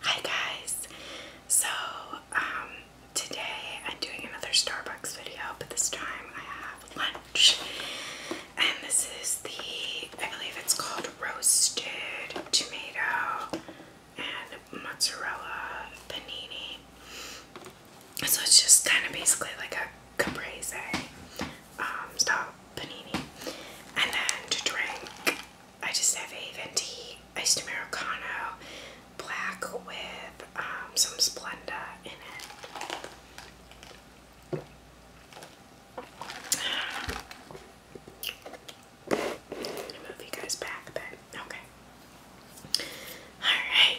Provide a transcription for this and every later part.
Hi guys! So, um, today I'm doing another Starbucks video, but this time I have lunch. And this is the, I believe it's called roasted tomato and mozzarella panini. So it's just kind of basically like a caprese um, style panini. And then to drink, I just have a venti iced Americano black with um, some Splenda in it. move you guys back a Okay. Alright.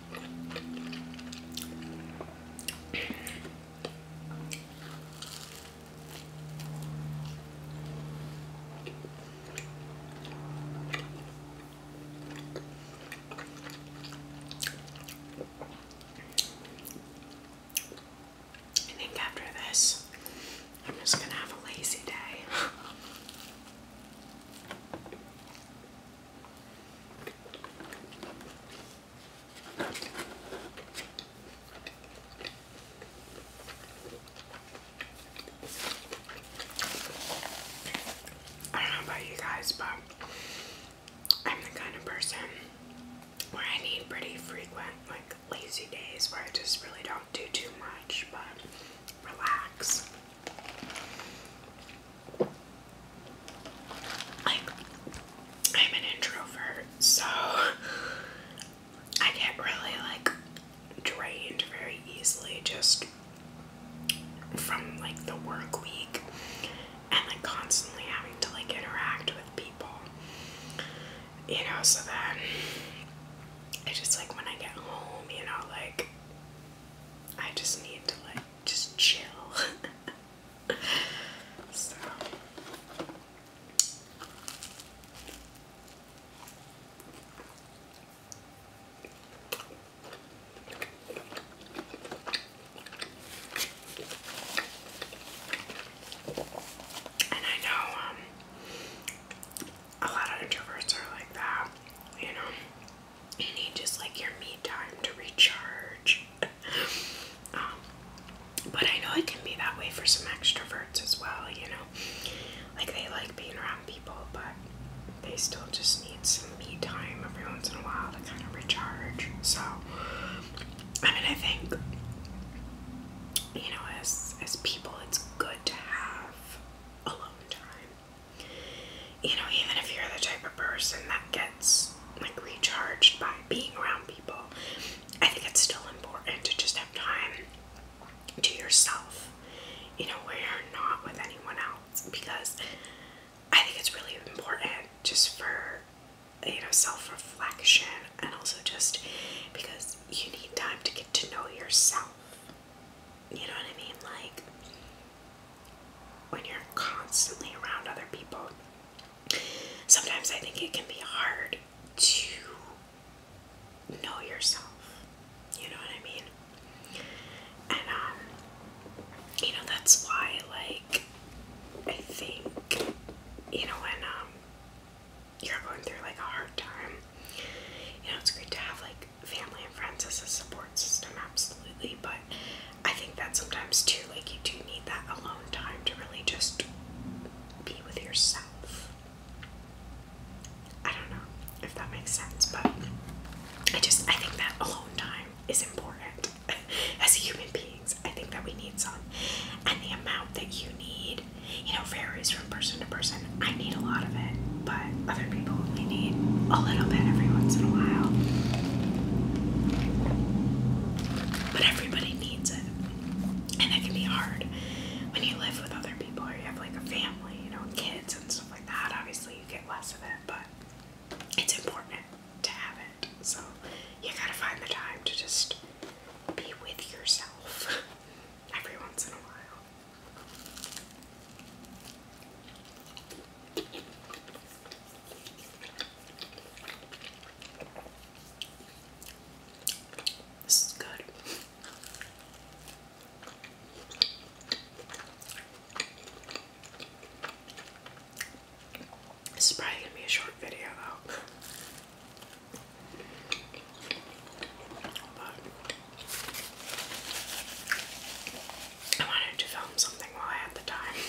I think after this, I'm just going to have a lazy day. I don't know about you guys, but I'm the kind of person where I need pretty frequent, like lazy days where I just really don't do too much but relax. Like, I'm an introvert, so I get really like drained very easily just from like the work week and like constantly having to like interact with people. You know, so then I just like when I get home, you know, like I just need to like just chill. and I know um, a lot of introverts are like that, you know you need just like your me time to recharge. um, but I know it can be that way for some extroverts as well, you know. Like they like being around people, but they still just need some me time every once in a while to kind of recharge. So, I mean, I think, you know, as as people, it's good to have alone time you know, even if you're the type of person that gets like recharged by being around people, I think it's still important to just have time to yourself, you know, where you're not with anyone else because I think it's really important just for you know self reflection and also just because you need time to get to know yourself. You know what I mean? Like when you're constantly around other people, sometimes I think it can be hard to know yourself. You know what I mean? And, um, you know, that's why, like, I think, you know, when, um, you're going through, like, a hard time, you know, it's great to have, like, family and friends as a support system, absolutely. But I think that sometimes too, like you do need that alone time to really just be with yourself. I don't know if that makes sense, but I just I think that alone time is important as human beings. I think that we need some, and the amount that you need, you know, varies from person to person. I need a lot of it, but but other people only need a little bit every once in a while. But everybody needs it. And it can be hard when you live with other people or you have like a family, you know, kids and stuff like that. Obviously, you get less of it, but it's important to have it. So you gotta find the time to just be with yourself every once in a while. This is good. This is probably gonna be a short video though. I wanted to film something while I had the time.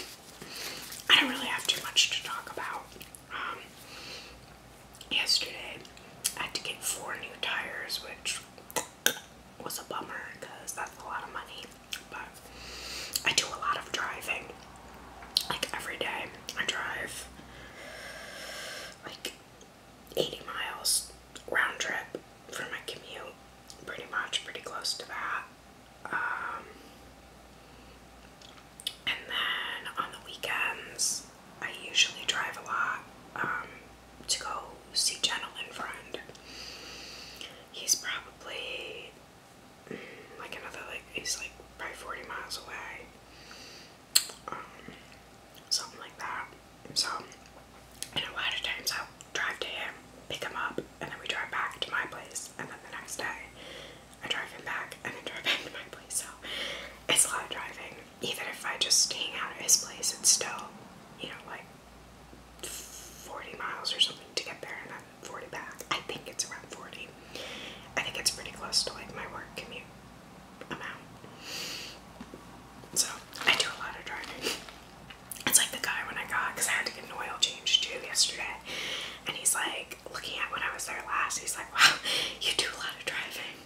I don't really have too much to talk about. Um, yesterday, I had to get four new tires, which was a bummer because that's a lot of money. But I do a lot of driving. Like every day, I drive like 80 miles round trip for my commute, pretty much, pretty close to that. Um, and then on the weekends, I usually drive a lot um, to go see and Friend. He's probably mm, like another, like, he's like probably 40 miles away. Um, something like that. So, a lot of times i drive to him, pick him up, and then we drive back to my place, and then the next day I drive him back and then drive back to my place. So, it's a lot of driving. Even if I just hang out at his place, it's still, you know, like 40 miles or something to get there and then 40 back. I think it's around 40. I think it's pretty close to like my work commute amount. So, I do a lot of driving. It's like the guy when I got, because I had to get an oil change too yesterday. And he's like, looking at when I was there last, he's like, wow, you do a lot of driving.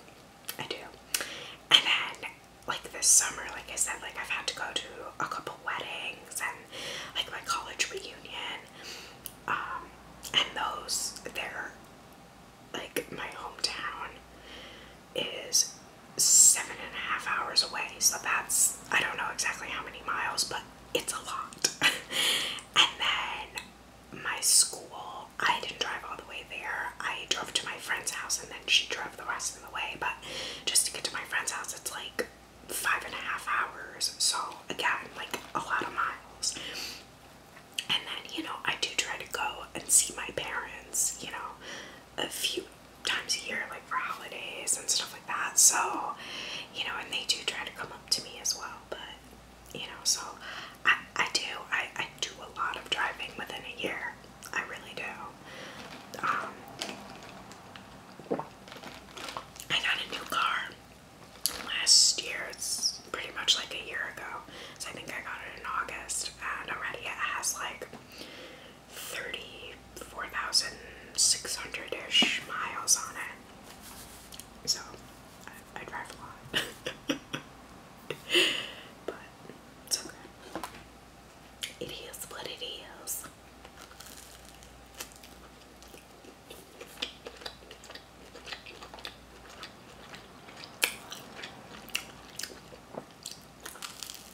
I do. And then, like this summer, like I said, like I've had to go to a couple weddings and like my college reunion. Um, and those, they're like my hometown is seven and a half hours away. So that's, I don't know exactly how many miles, but it's a lot. and then my school, I didn't drive all the way there. I drove to my friend's house and then she drove the rest of the way. But just to get to my friend's house, it's like five and a half hours. So again, like a lot of miles. And then, you know, I do try to go and see my parents, you know, a few times a year, like for holidays and stuff like that. So, you know, and they do try to come up to me as well, but you know, so I, I do, I, I do a lot of driving within a year. I really do. Um, I got a new car last year. It's pretty much like a year ago. So I think I got it in August, and already it has like 34,600 ish miles on it. So I, drive a lot. but It is what it is.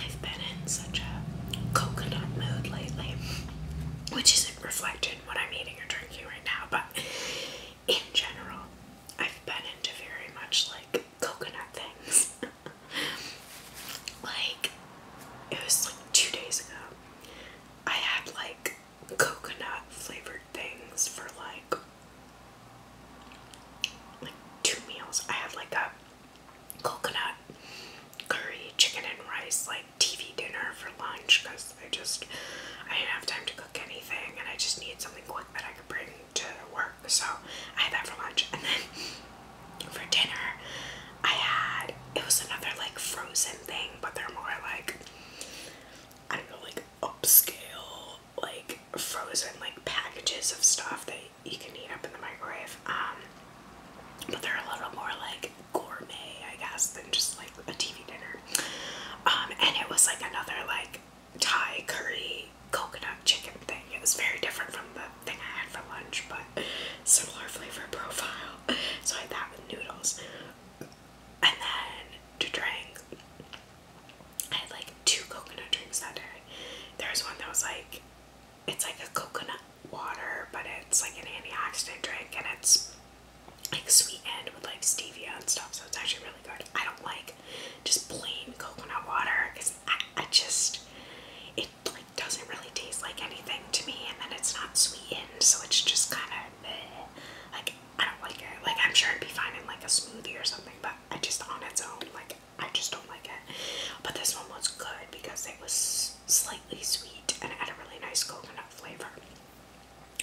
I've been in such a coconut mood lately, which isn't reflected in what I'm eating or drinking right now, but in general, I've been into very much like coconut things. like, it was like two days ago, I had like coconut flavored things for like like two meals. I had like a coconut curry, chicken and rice, like TV dinner for lunch because I just I didn't have time to cook anything and I just needed something quick that I could bring to work. So I had that for lunch, and then for dinner I had it was another like frozen thing, but they're more like I don't know, like upscale, like frozen like packages of stuff that you can heat up in the microwave. Um, but they're a little more like gourmet, I guess, than just like a TV dinner. Um, and it was like another like Thai curry coconut chicken thing. It was very different from the thing I had for lunch, but similar flavor profile. So I had that with noodles. And then to drink, I had like two coconut drinks that day. There was one that was like it's like a coconut water, but it's like an antioxidant drink and it's like sweetened with like stevia and stuff, so it's actually really good. I don't like just plain coconut water because I, just it like doesn't really taste like anything to me, and then it's not sweetened, so it's just kind of like I don't like it. Like I'm sure it'd be fine in like a smoothie or something, but I just on its own like I just don't like it. But this one was good because it was slightly sweet and it had a really nice coconut flavor.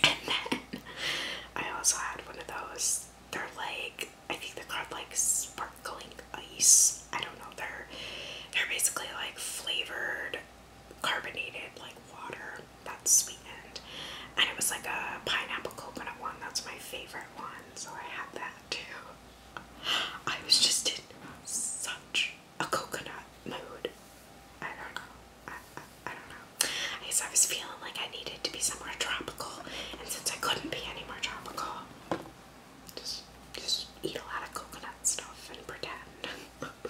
And then I also had one of those. They're like I think they're called like sparkling ice. I don't know. They're they're basically like flavored carbonated like water that's sweetened. And it was like a pineapple coconut one. That's my favorite one. So I had that too. I was just in such a coconut mood. I don't know. I, I, I don't know. I guess I was feeling like I needed to be somewhere tropical, and since I couldn't be anywhere tropical, just just eat a lot of coconut stuff and pretend.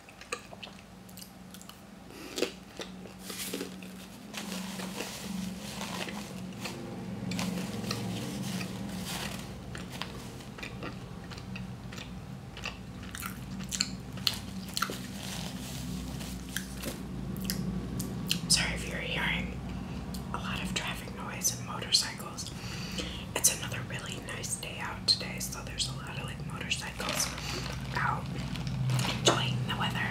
Sorry if you're hearing a lot of traffic noise and motorcycles. It's another really nice day out today, so there's a lot of motorcycles out enjoying the weather.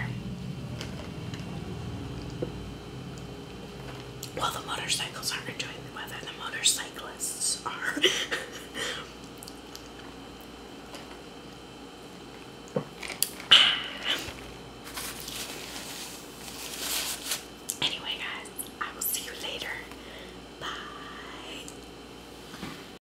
Well, the motorcycles aren't enjoying the weather, the motorcyclists are. anyway, guys, I will see you later. Bye.